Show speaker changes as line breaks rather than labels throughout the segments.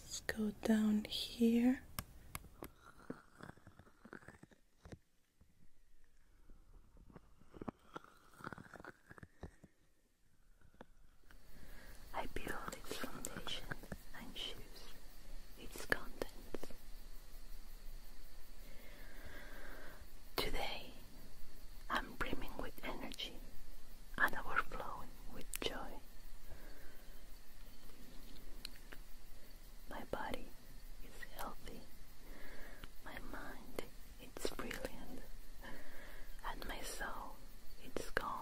Let's go down here. I build its foundation and shoes its contents. Today, I'm brimming with energy and overflowing with joy. My body is healthy, my mind is brilliant, and my soul is calm.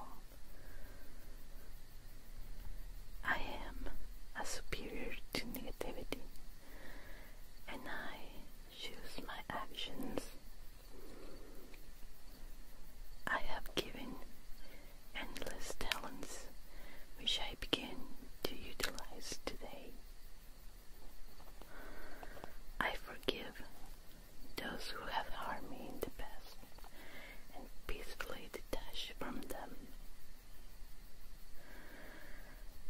I am a superior to negativity and I choose my actions. I have given endless talents which I begin to utilize today. I forgive those who have harmed me in the past and peacefully detach from them.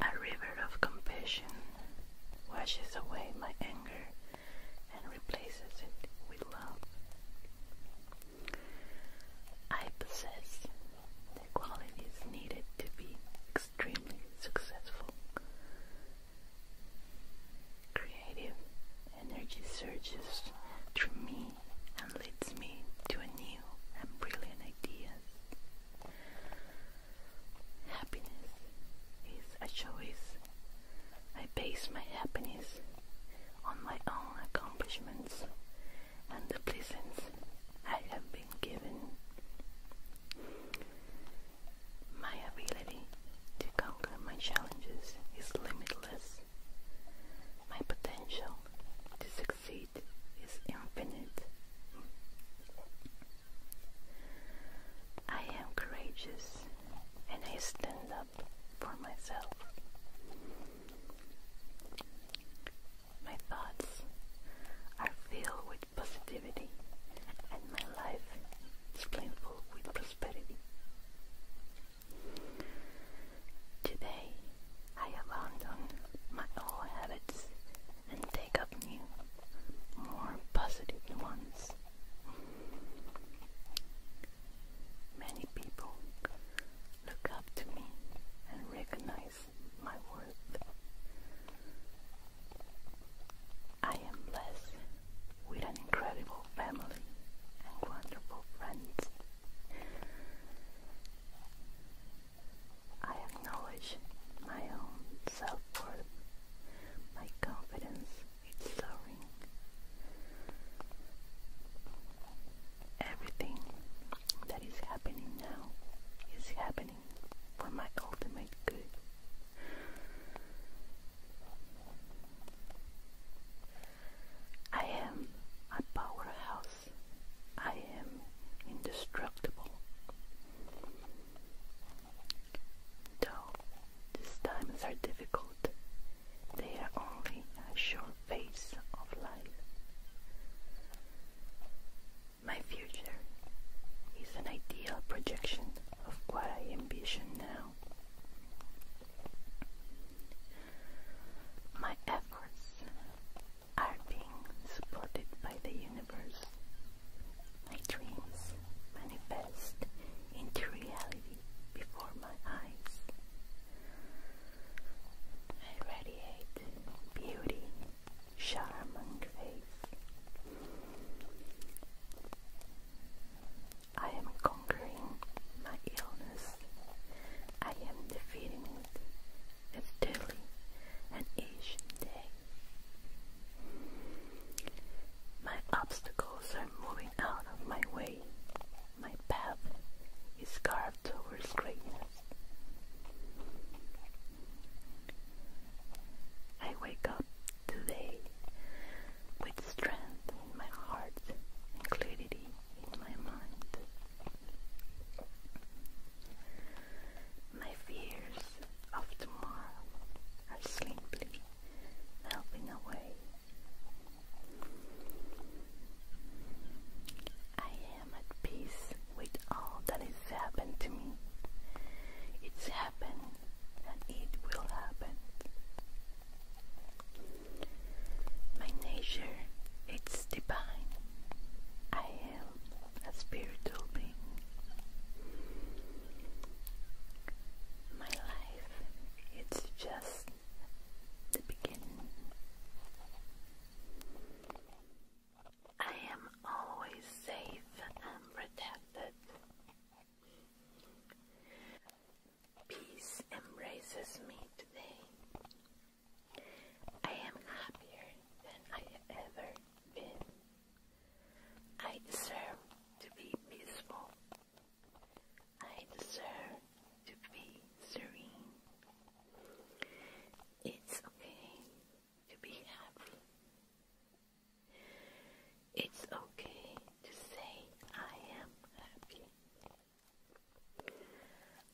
A river of compassion washes away my anger and replaces it with love. I possess the qualities needed to be extremely successful. Creative energy surges through me and leads me to a new and brilliant idea. Happiness is a choice. I base my happiness on my own accomplishments and the blessings I have been given. My ability to conquer my challenges is limitless. My potential to succeed feet is infinite. I am courageous and I stand up for myself. My thoughts are filled with positivity and my life is plentiful with prosperity. Today I abandon my old habits and take up new, more positive ones. Many people look up to me and recognize my worth. I am blessed with an incredible family and wonderful friends. I acknowledge my own self-worth. My confidence is soaring. Everything that is happening now is happening for my ultimate good. I am a powerhouse I am indestructible. Though these times are difficult, they are only a short phase of life. My future is an ideal projection of what I ambition now. My efforts are being supported by the universe. My dreams manifest into reality before my eyes. I radiate beauty, charm, and grace. I am conquering my illness I am defeating it as daily and each day. My obstacles are moving out of my way. My path is carved towards greatness. I wake up today with strength in my heart and clarity in my mind. My fears of tomorrow are simply melting away. I am at peace with all that has happened to me. It's happened and it will happen. My nature it's divine. I am a spiritual being. My life it's just the beginning. I am always safe and protected. Peace embraces me today. I am happier than I have ever been. I deserve to be peaceful. I deserve to be serene. It's okay to be happy. It's okay to say I am happy.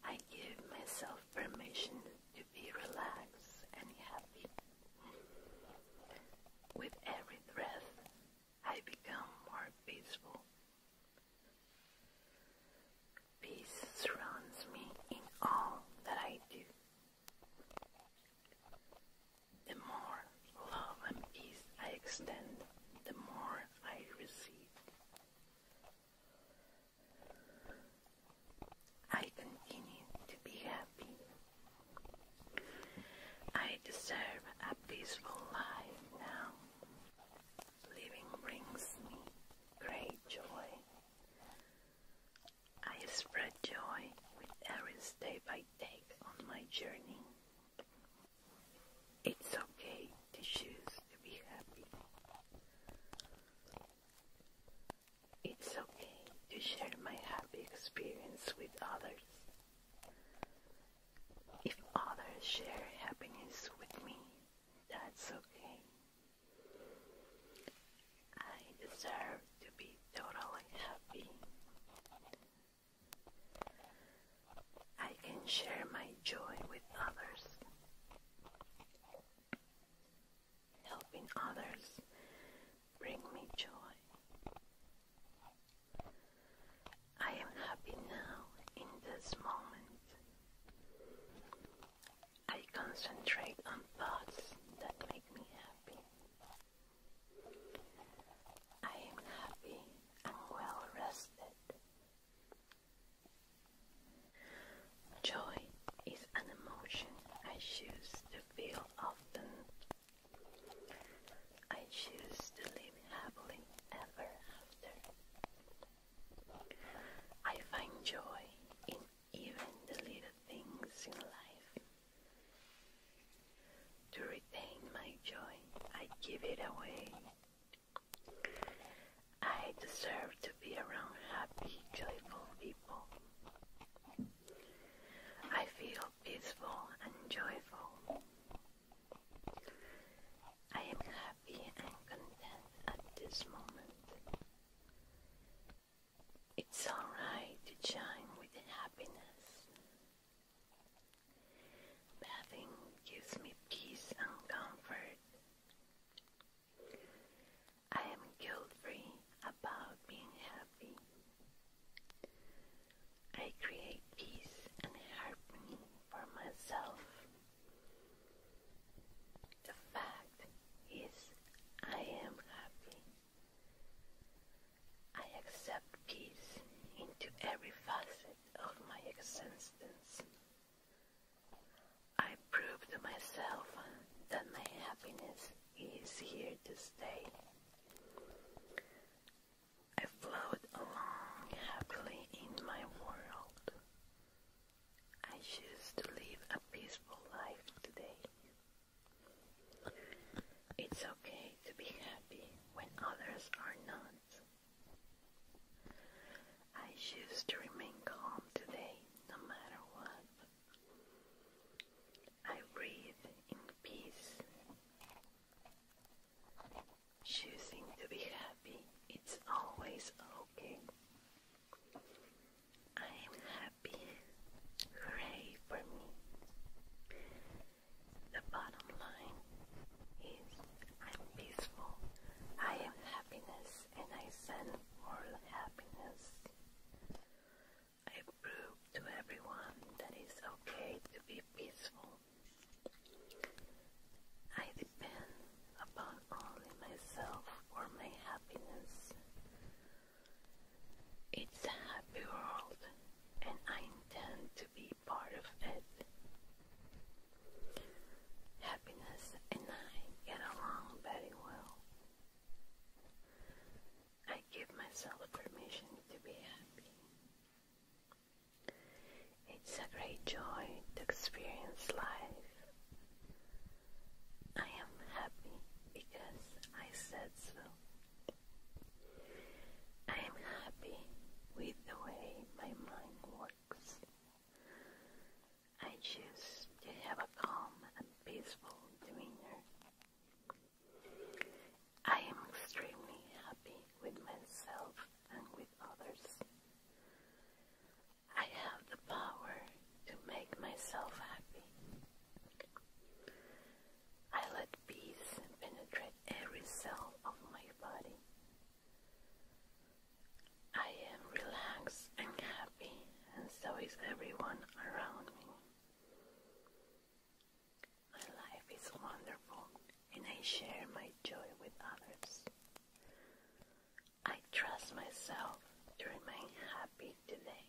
I give myself permission to be relaxed and happy. With every breath, I become more peaceful. Peace surrounds me in all that I do. The more love and peace I extend, the more I receive. I continue to be happy. I deserve a peaceful life now. Living brings me great joy. I spread joy with every step I take on my journey. It's okay to choose to be happy. It's okay to share my happy experience with others. If others share happiness with me, that's okay. I deserve to be totally happy. I can share my joy with others. Helping others bring me joy. I am happy now in this moment. I concentrate on thoughts that make me happy. I am happy and well rested Joy is an emotion I choose to feel often. I choose to live happily ever after. I find joy in even the little things in life. To retain my joy, I give it away I deserve to be around happy, joyful people. I feel peaceful and joyful. I am happy and content at this moment. It's alright to shine with happiness. Bathing gives me peace and comfort. I am guilt free about being happy. I create peace and harmony for myself. The fact is, I am happy. I accept peace into every facet of my existence. I proved to myself that my happiness is here to stay. I float along happily in my world. I choose to live a peaceful life today. It's okay to be happy when others are not. I choose to remain calm today, no matter what. I breathe in peace. Choosing to be happy, it's always okay. I am happy. Hooray for me. The bottom line I'm peaceful, I am happiness, and I send forth happiness. I prove to everyone that it's okay to be peaceful. I depend upon only myself for my happiness. It's a happy world, and I intend to be part of it. Happiness and I get along very well. I give myself permission to be happy. It's a great joy to experience life. I am happy because I said so. I am happy with the way my mind works. I choose to have a calm and peaceful demeanor. I am extremely happy with myself and with others. I have the power to make myself happy. I let peace penetrate every cell of my body. I am relaxed and happy, and so is everyone around me. My life is wonderful, and I share my joy with others. I trust myself to remain happy today.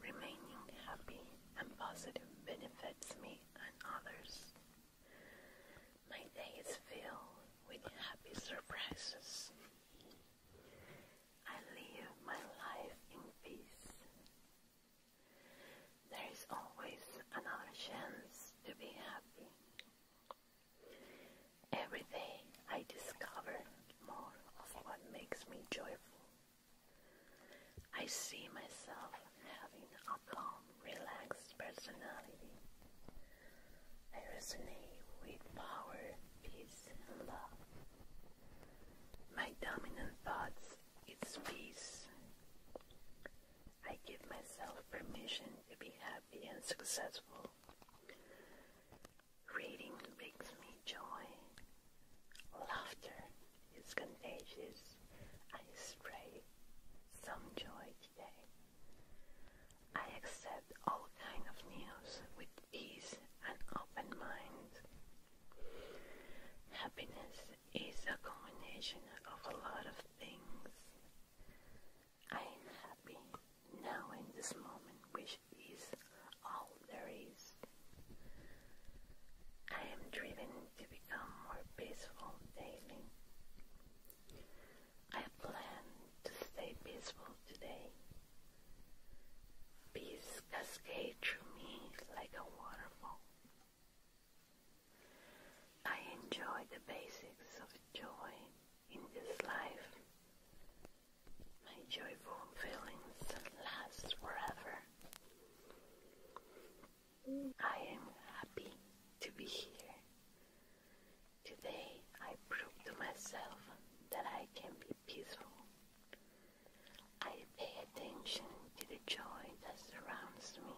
Remaining happy and positive benefits me and others. My days fill with happy surprises. I live my life in peace. There is always another chance to be happy. Every day I discover more of what makes me joyful. I see myself having a calm, relaxed personality. I resonate with power, peace, and love. My dominant thoughts it's peace. I give myself permission to be happy and successful. Reading makes me joy, laughter, it's contagious. I spray some joy today. I accept all kind of news with ease and open mind. Happiness is a combination of a lot of things. I am happy now in this moment, which is all there is. I am driven to become more peaceful daily. I plan to stay peaceful today. Peace cascades through me like a waterfall. I enjoy the basics of joy in this life. My joyful feelings last forever. I am happy to be here. Today I prove to myself that I can be peaceful. I pay attention to the joy that surrounds me.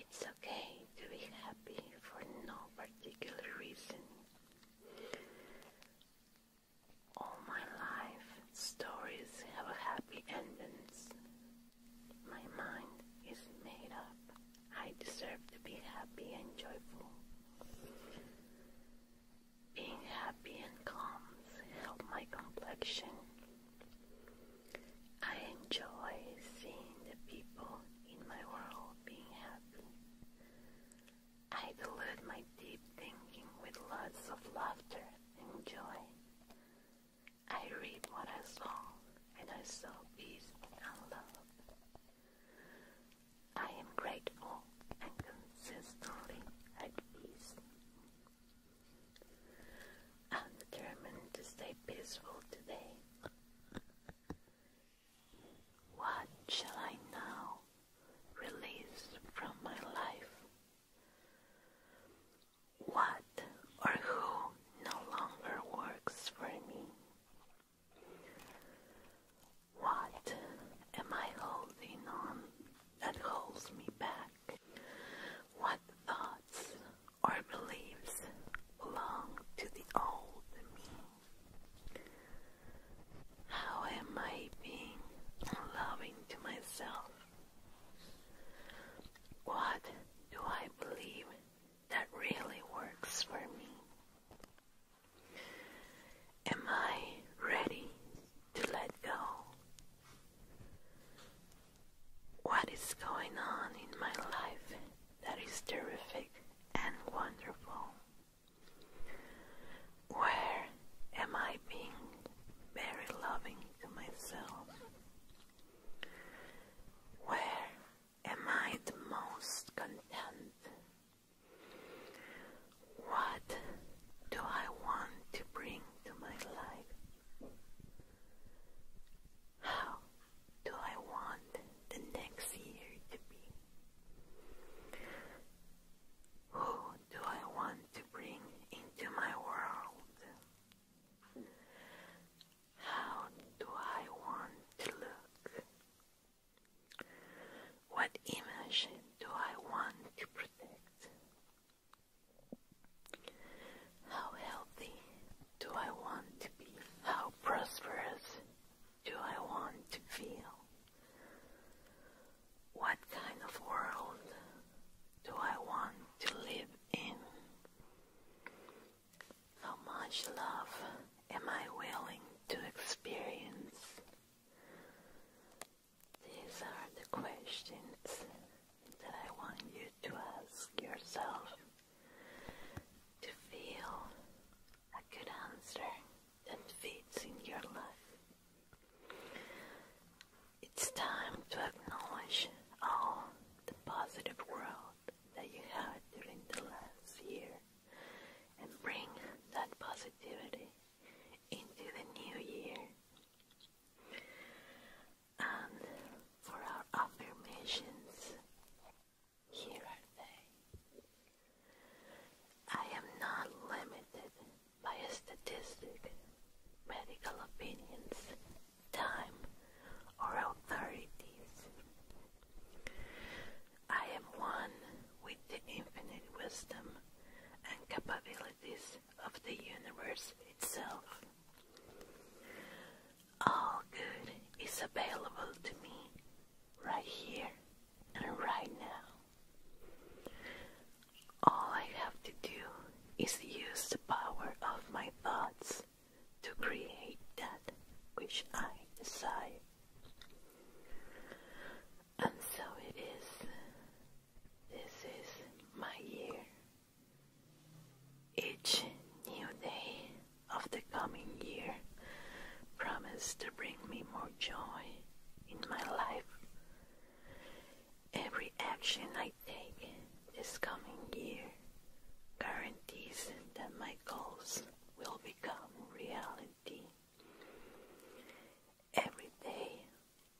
It's okay to be happy for no particular reason. All my life stories have happy endings, my mind is made up. I deserve to be happy and joyful. Being happy and calm helps my complexion. I enjoy seeing the people in my world being happy. I dilute my deep thinking with lots of laughter and joy. I read what I saw, and I saw peace and love. I am grateful and consistently at peace. I'm determined to stay peaceful today. What shall I now release from my life? what or who no longer works for me. What am I holding on that holds me back? What thoughts or beliefs belong to the old me? How am I being loving to myself? What do I believe that really works for me? Am I ready to let go? What is going on in my life that is terrific and wonderful? Where am I being very loving to myself, where am I the most content? What do I want to bring to my life? How do I want the next year to be? Who do I want to bring into my world? How do I want to look? What image do I want to protect? How healthy do I want to be? How prosperous do I want to feel? What kind of world do I want to live in? How much love am I willing to experience? These are the questions that I want you to ask yourself to feel a good answer that fits in your life. It's time to acknowledge all the positive growth that you had during the last year and bring that positivity into the new year. And for our affirmations, here are they. I am not limited by a statistic, medical opinions, time, or authorities. I am one with the infinite wisdom and capabilities of the universe itself. All good is available to me right here and right now. All I have to do is use the power of my thoughts to create that which I desire. And so it is. This is my year. Each new day of the coming year promised to bring me more joy in my life. Every action I take this coming year guarantees that my goals will become reality. Every day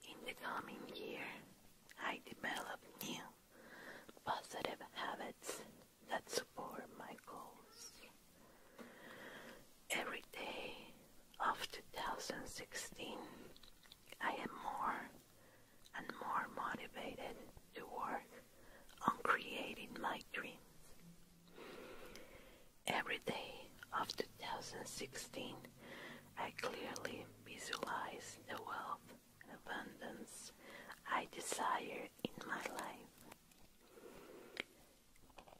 in the coming year, I develop new positive habits that support my goals. Every day of 2016, I am more and more motivated to work on creating my dreams. Every day of 2016, I clearly visualize the wealth and abundance I desire in my life.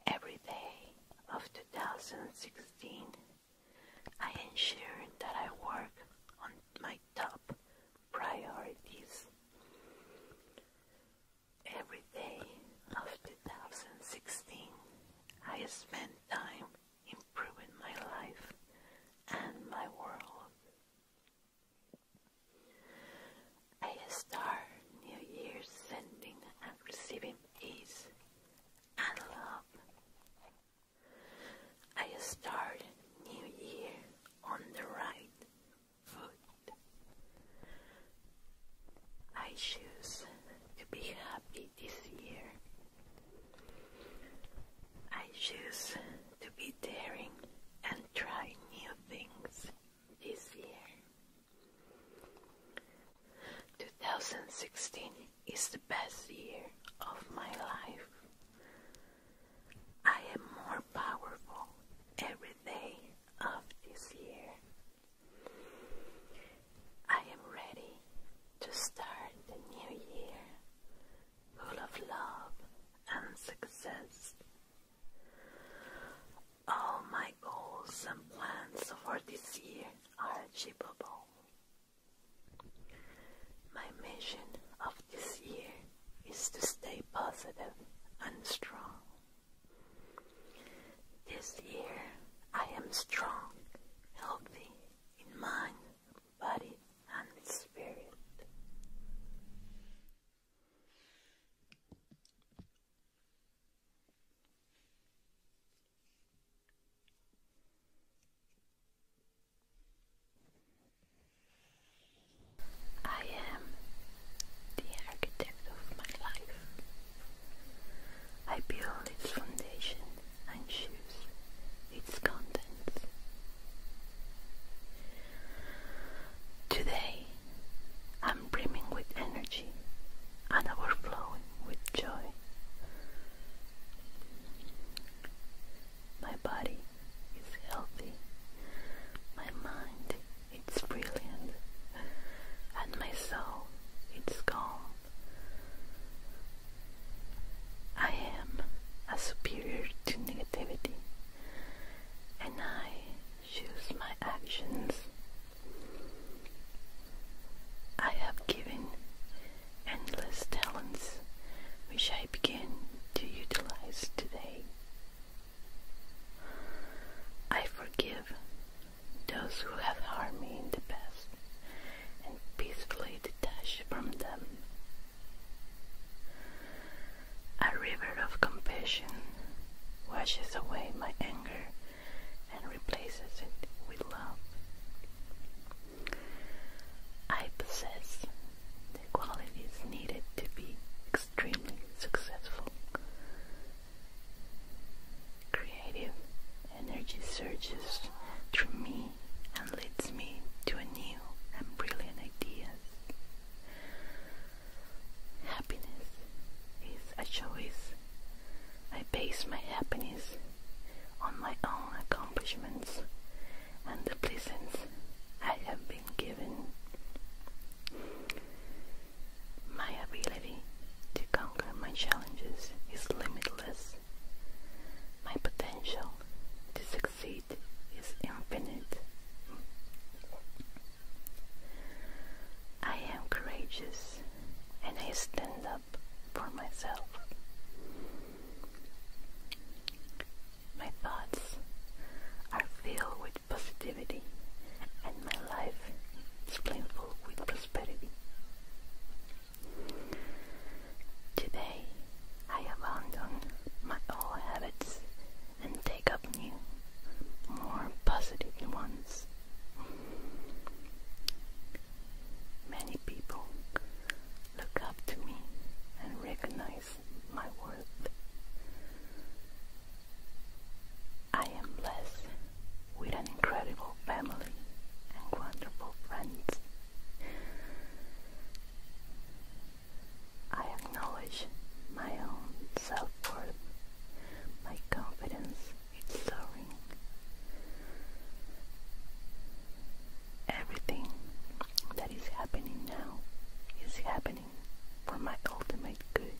Every day of 2016, I ensure that I work on my top priorities. Every day of 2016, I spend time improving my life and my world. I star New Year's sending and receiving peace and love I start New Year on the right foot. I choose to be happy this year. I choose to be daring and try new things this year. 2016 it's the best year of my life. I am more powerful every day of this year. I am ready to start the new year full of love and success. All my goals and plans for this year are achievable. My mission of this year is to stay positive and strong. This year I am strong, healthy in mind, body, and spirit. I am the architect of my life. I build its foundation and choose its contents. Today, I'm brimming with energy and overflowing with joy my body is healthy, my mind it's brilliant, and my soul it's calm. I am a superior to negativity, and I choose my actions. I have given endless talents which I begin to utilize today. I forgive those who have harmed me in the past and peacefully detach from them. A river of compassion washes away my anger and replaces it with love. I possess the qualities needed to be extremely successful. Creative energy surges through me and leads me to a new and brilliant ideas. Happiness is a choice. I base my happiness on my own accomplishments and the blessings I have been given. My ability to conquer my challenges is limitless. My potential to succeed is infinite. I am courageous and I stand up for myself. My thoughts are filled with positivity, and my life is plentiful with prosperity. Today, I abandon my old habits and take up new, more positive ones. Many people look up to me and recognize my worth. I am blessed with an incredible family and wonderful friends. I acknowledge my own self worth, my confidence, it's soaring. Everything that is happening now is happening for my ultimate good.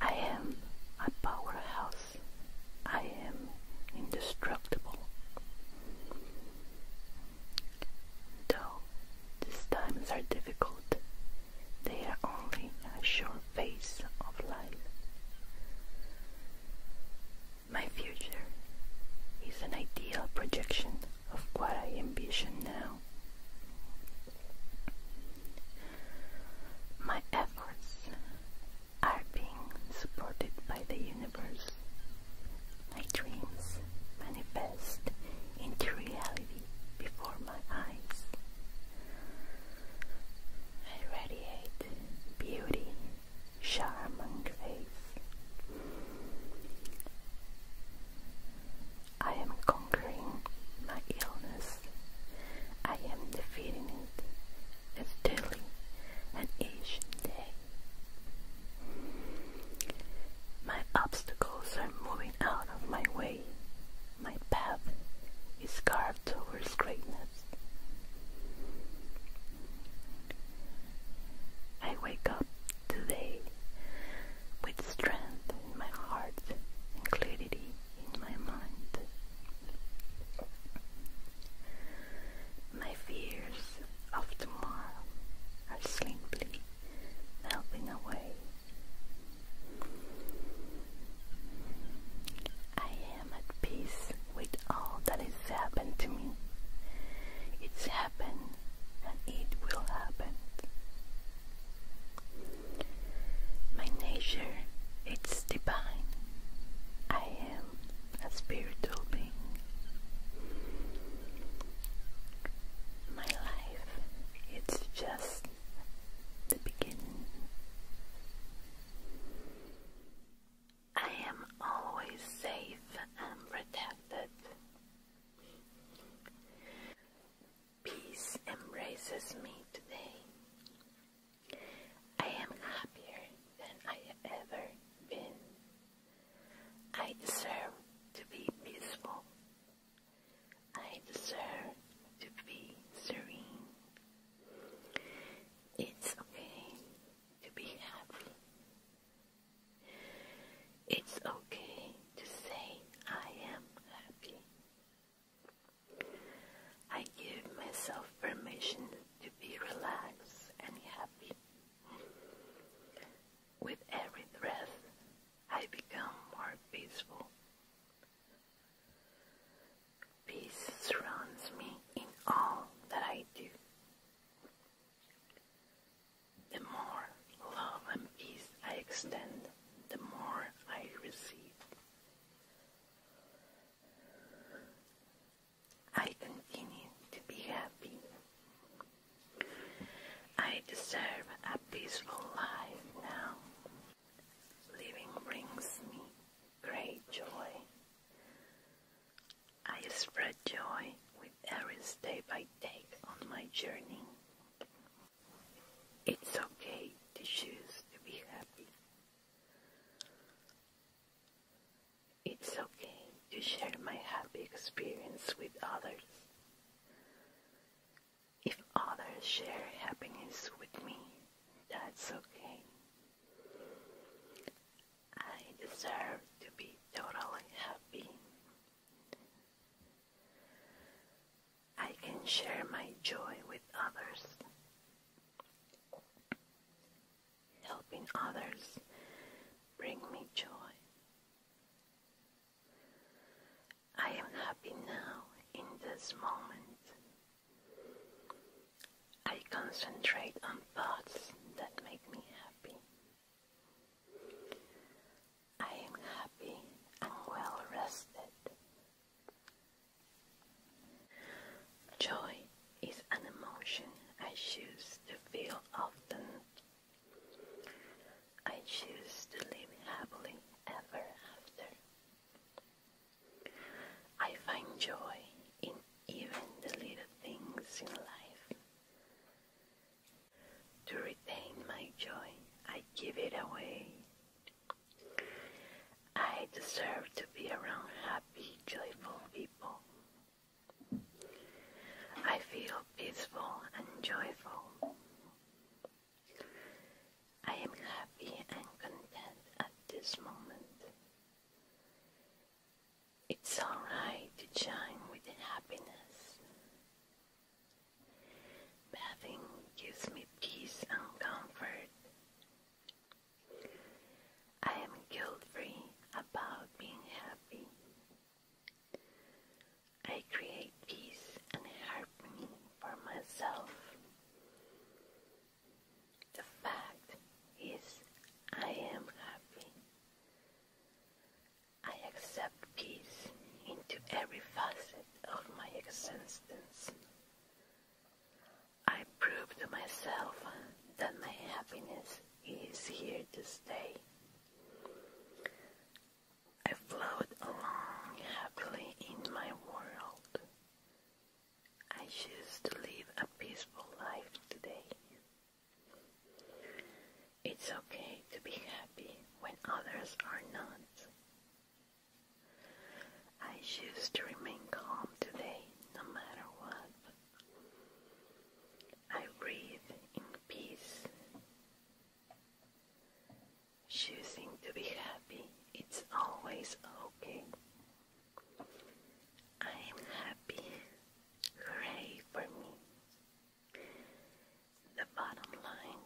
I am a powerhouse. I am indestructible. Though these times are difficult, they are only a short phase of life. My future is an ideal projection of what I envision now. My efforts are being supported by the universe. My dreams manifest into reality before my eyes. I radiate beauty, charm, and grace. I am conquering my illness. I am defeating it daily, and each day. My obstacles are moving out of my way. My path is carved towards greatness. I wake up today with strength in my heart and clarity in my mind. My fears of tomorrow are simply melting away. I am at peace with all that has happened to me. It's happened and it will happen. My nature it's divine. I am a spiritual being. My life it's just the beginning. I am always safe and protected. Peace embraces me today. I am happier than I ever been. I deserve to be peaceful. I deserve to be serene. It's okay to be happy. It's okay to say I am happy. I give myself permission to be relaxed and happy. With every breath, I become more peaceful. Peace surrounds me in all that I do. The more love and peace I extend, the more I receive. I continue to be happy. I deserve a peaceful life now. Living brings me great joy. I spread joy with every step I take on my journey. It's okay to choose to be happy. It's okay to share my happy experience with others. If others share happiness with me, that's okay. I deserve to be totally happy. I can share my joy with others. Helping others bring me joy. I am happy now in this moment. I concentrate on thoughts that make me happy. I am happy and well rested. Joy is an emotion I choose to feel often I choose to live happily ever after. I find joy in even the little things in life. To retain my joy, I give it away. I deserve to be around happy, joyful people. I feel peaceful and joyful. I am happy and content at this moment. It's alright to shine with happiness. Bathing gives me peace and comfort. I am guilt free about being happy. I create peace and harmony for myself. The fact is, I am happy. I accept peace into every facet of my existence. I prove to myself that my happiness is here to stay. I float along happily in my world. I choose to live a peaceful life today. It's okay to be happy when others are not. I choose to remain calm today no matter what. I breathe in peace choosing to be happy. It's always okay. I am happy. Hooray for me. The bottom line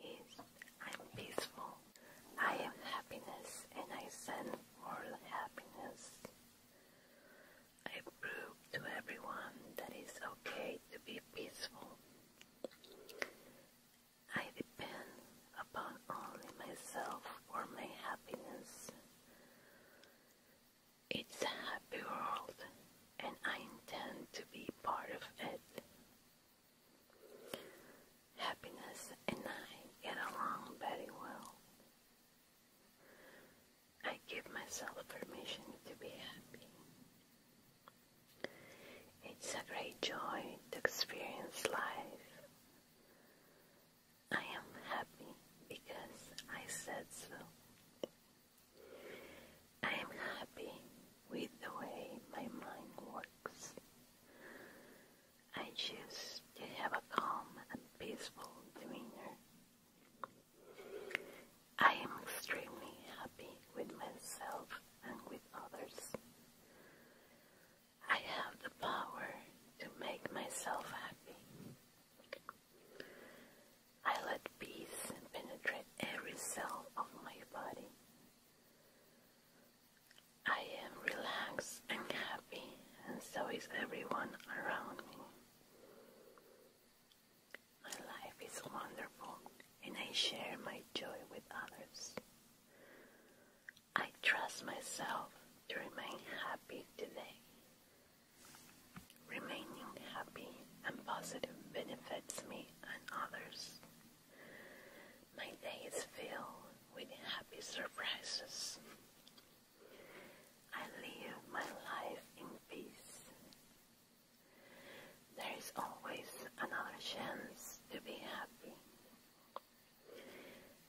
is I'm peaceful. I am happiness and I send forth happiness. I prove to everyone that it's okay to be peaceful. I depend upon only myself for my happiness. It's a happy world, and I intend to be part of it. Happiness and I get along very well. I give myself permission to be happy. It's a great joy to experience life. I am happy because I said so. I am happy with the way my mind works. I choose to have a calm and peaceful demeanor. I am extremely happy with myself and with others. I have the power to make myself happy. I let peace penetrate every cell of my body. I am relaxed and happy, and so is everyone around me. My life is wonderful and I share my joy with others. I trust myself to remain happy today. Remaining happy and positive benefits me and others. My days fill with happy surprises. I live my life in peace. There is always another chance to be happy.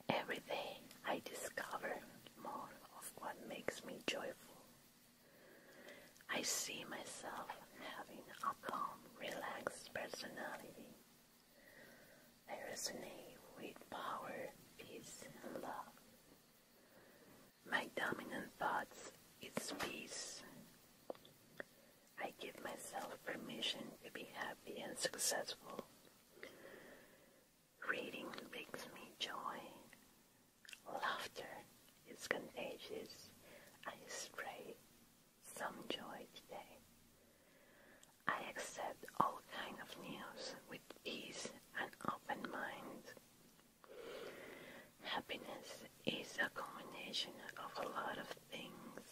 Every day I discover more of what makes me joyful. I see myself having a calm, relaxed personality. I resonate with power, peace, and love. My dominant thoughts is peace. I give myself permission to be happy and successful. Reading brings me joy. Laughter is contagious. I spray some joy today. I accept all kind of news with ease and open mind. Happiness is a combination of a lot of things.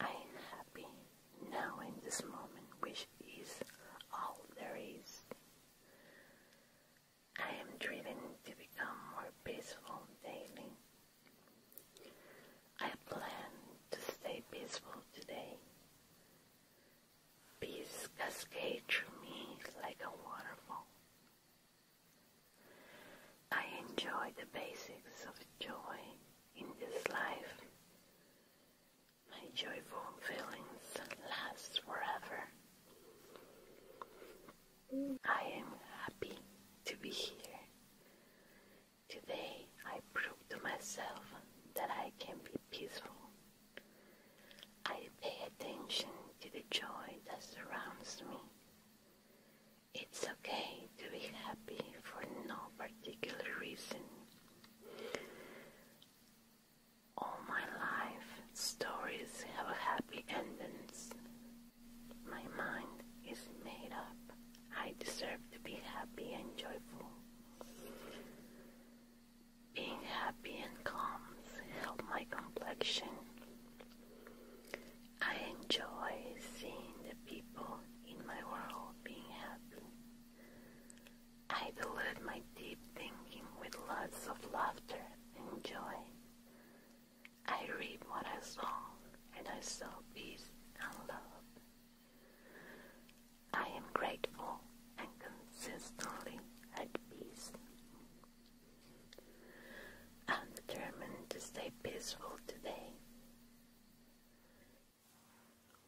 I am happy now in this moment, which is all there is. I am driven to become more peaceful daily. I plan to stay peaceful today. Peace cascades through me like a waterfall, I enjoy the basics of joy in this life. My joyful feelings last forever. I am happy to be here. Today I prove to myself that I can be peaceful I pay attention to the joy that surrounds me. It's okay to be happy for no particular reason. All my life, stories have happy endings. My mind is made up. I deserve to be happy and joyful. Being happy and calm helps my complexion. I enjoy seeing the people in my world being happy. I dilute my deep thinking with lots of laughter and joy. I read what I saw and I saw peace and love. I am grateful and consistently at peace. I'm determined to stay peaceful today.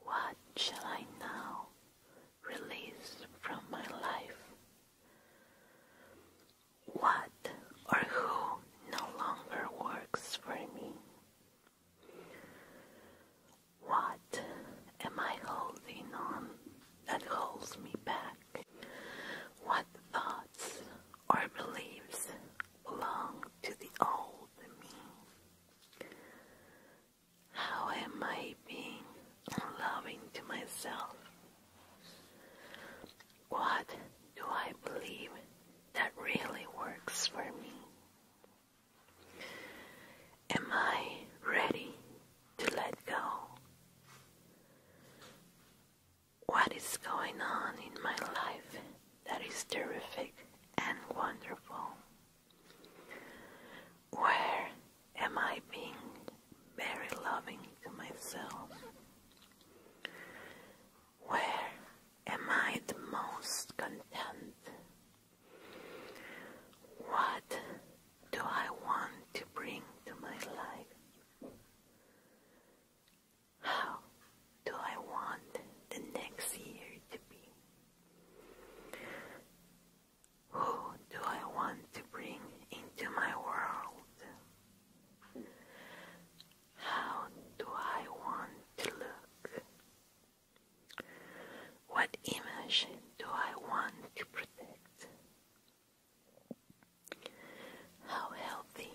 What shall I now release from my life? What or who no longer works for me? What am I holding on that holds me back? What thoughts or beliefs belong to the old me? How am I being loving to myself? What do I believe that really works for me? Am I ready to let go. What is going on in my life that is terrific and wonderful? Where am I being very loving to myself? Where am I the most content? What do I want to bring to my life? How do I want the next year to be? Who do I want to bring into my world? How do I want to look? What image do I want to protect? How healthy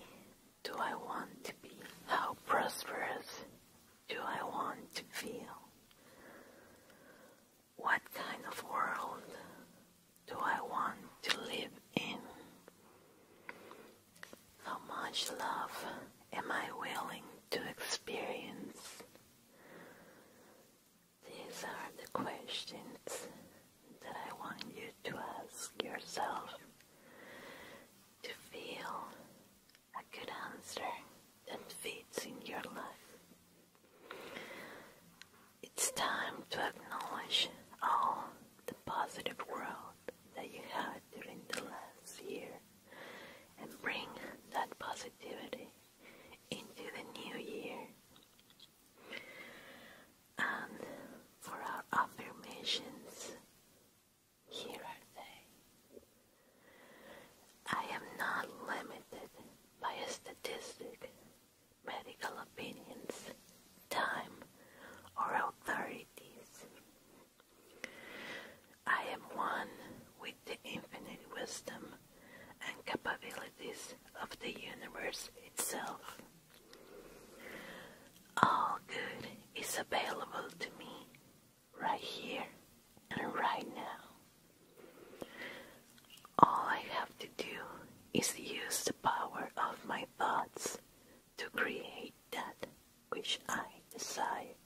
do I want to be? How prosperous do I want to feel? What kind of world do I want to live in? How much love am I willing to experience? These are the questions that I want you to ask yourself to feel a good answer that fits in your life. It's time to acknowledge all the positive growth that you had during the last year and bring that positivity into the new year. And um, for our affirmations, here are they. I am not limited by a medical opinions, time, or authorities. I am one with the infinite wisdom and capabilities of the universe itself. All good is available to me right here and right now. All I have to do is use the power of my thoughts to create that which I desire.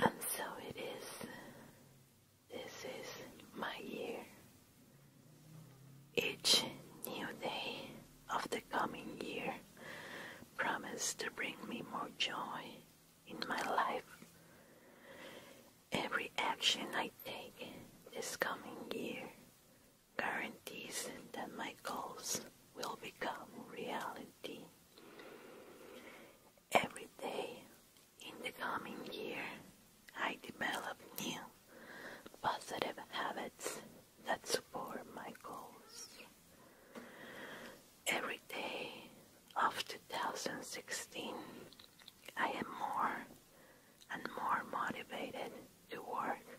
And so it is. This is my year. Each new day of the coming year promises to bring me more joy in my life. Every action I take this coming year guarantees that my goals will become reality. Every day in the coming year, I develop new positive habits that support my goals. Every day of 2016, I am more and more motivated to work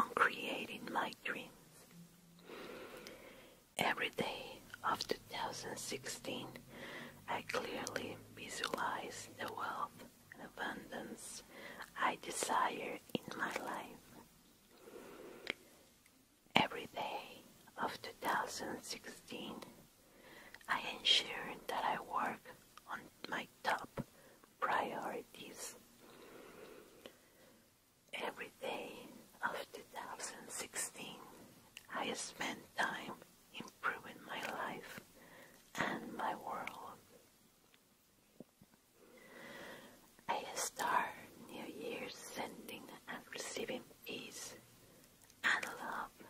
on creating my dreams. Every day of 2016, I clearly visualize the wealth and abundance I desire in my life. Every day of 2016, I ensure that I work on my top priorities. Every day of 2016, I spend time improving my life and my world. I start New Year sending and receiving peace and love.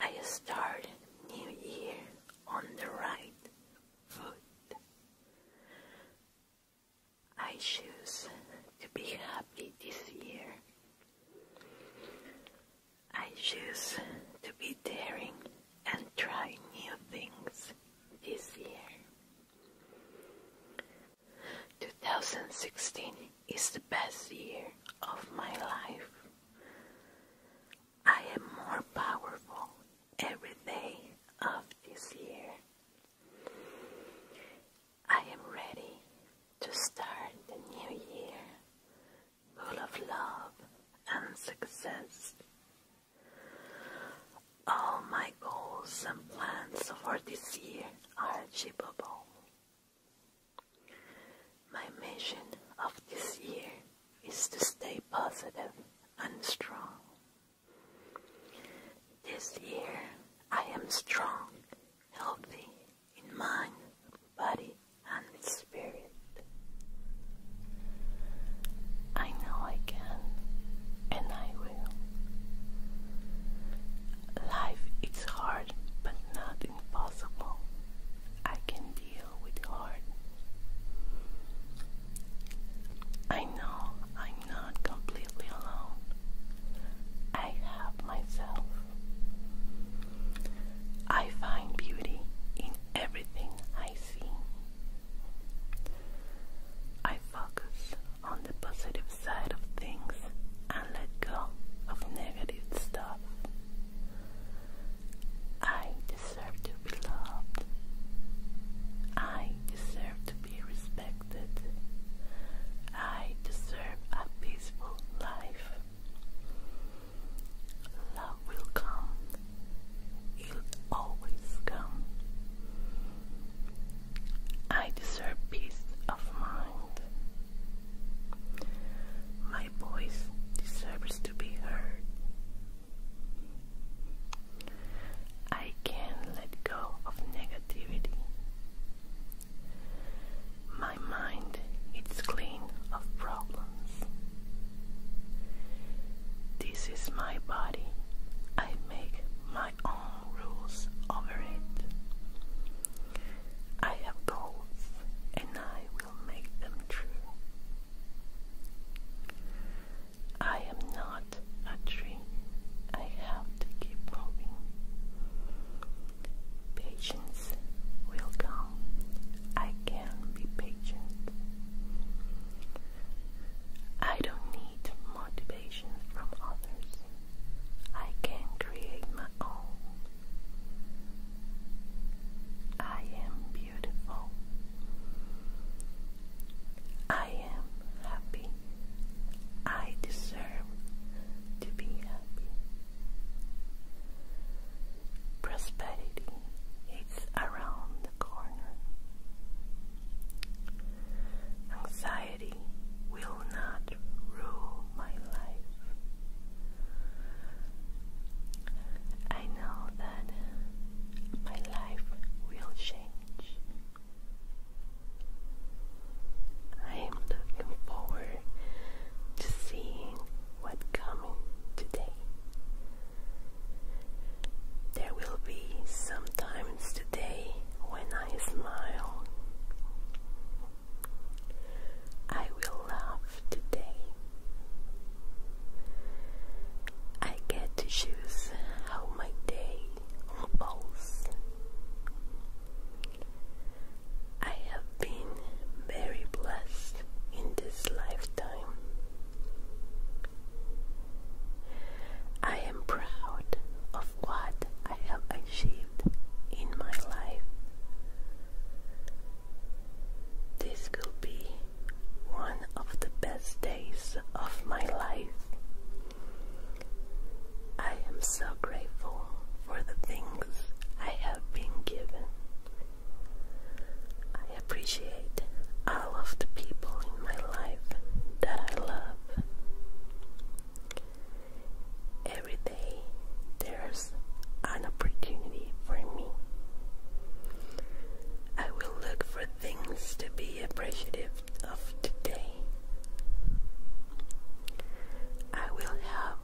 I start New Year on the right foot. I choose to be happy this year. I choose to be daring and try new things this year. 2016 is the best year of my life. I am more powerful every day of this year. I am ready to start the new year full of love and success. All my goals and plans for this year are achievable. My mission of this year is to stay positive and strong. This year I am strong healthy in mind, body, and spirit. I know I can, and I will. Life is hard, but not impossible. I can deal with hard. I know I'm not completely alone. I have myself. I find beauty in everything I see. I focus on the positive side of things and let go of negative stuff. I deserve to be loved. I deserve to be respected protected. I deserve a peaceful life. Love will come. It'll always come. I deserve peace of mind. My voice deserves to be heard. I can let go of negativity. My mind is clean of problems. This is my body. I make my own rules over it. I have goals and I will make them true. I am not a dream. I have to keep moving. Patience will come. I can be patient. I don't need motivation from others. I can create my own. I am beautiful. I am happy. I deserve to be happy. Prosperity is around the corner. Anxiety will not rule my life. I know that my life will change. I am looking forward to seeing what's coming today. There will be some times today when I smile. I will laugh today. I get to choose how my day unfolds. I have been very blessed in this lifetime. I am proud of what I have achieved in my life. This will be one of the best days of my life. I am so grateful for the things I have been given. I appreciate all of the people in my life that I love. Every day there's an opportunity for me. I will look for things to be appreciative of today, I will have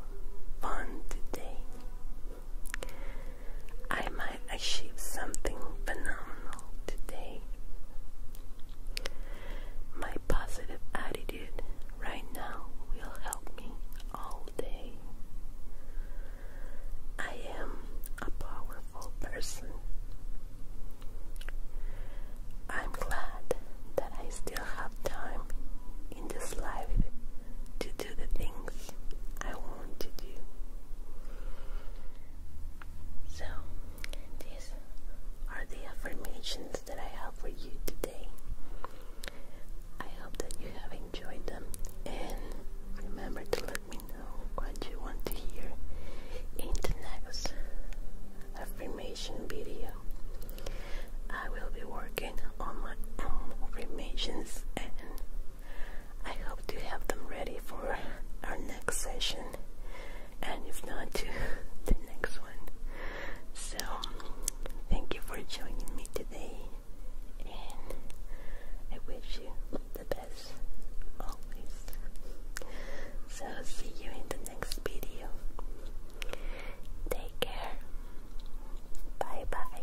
fun today. I might achieve something phenomenal today. My positive attitude right now will help me all day. I am a powerful person. I'm glad that I still have time in this life to do the things I want to do. So, these are the affirmations that I have for you today. I hope that you have enjoyed them and remember to let me know what you want to hear in the next affirmation video. I will be working on my affirmations and I hope to have them ready for our next session and if not to the next one. So thank you for joining me today and I wish you the best always. So see you in the next video. Take care. Bye bye.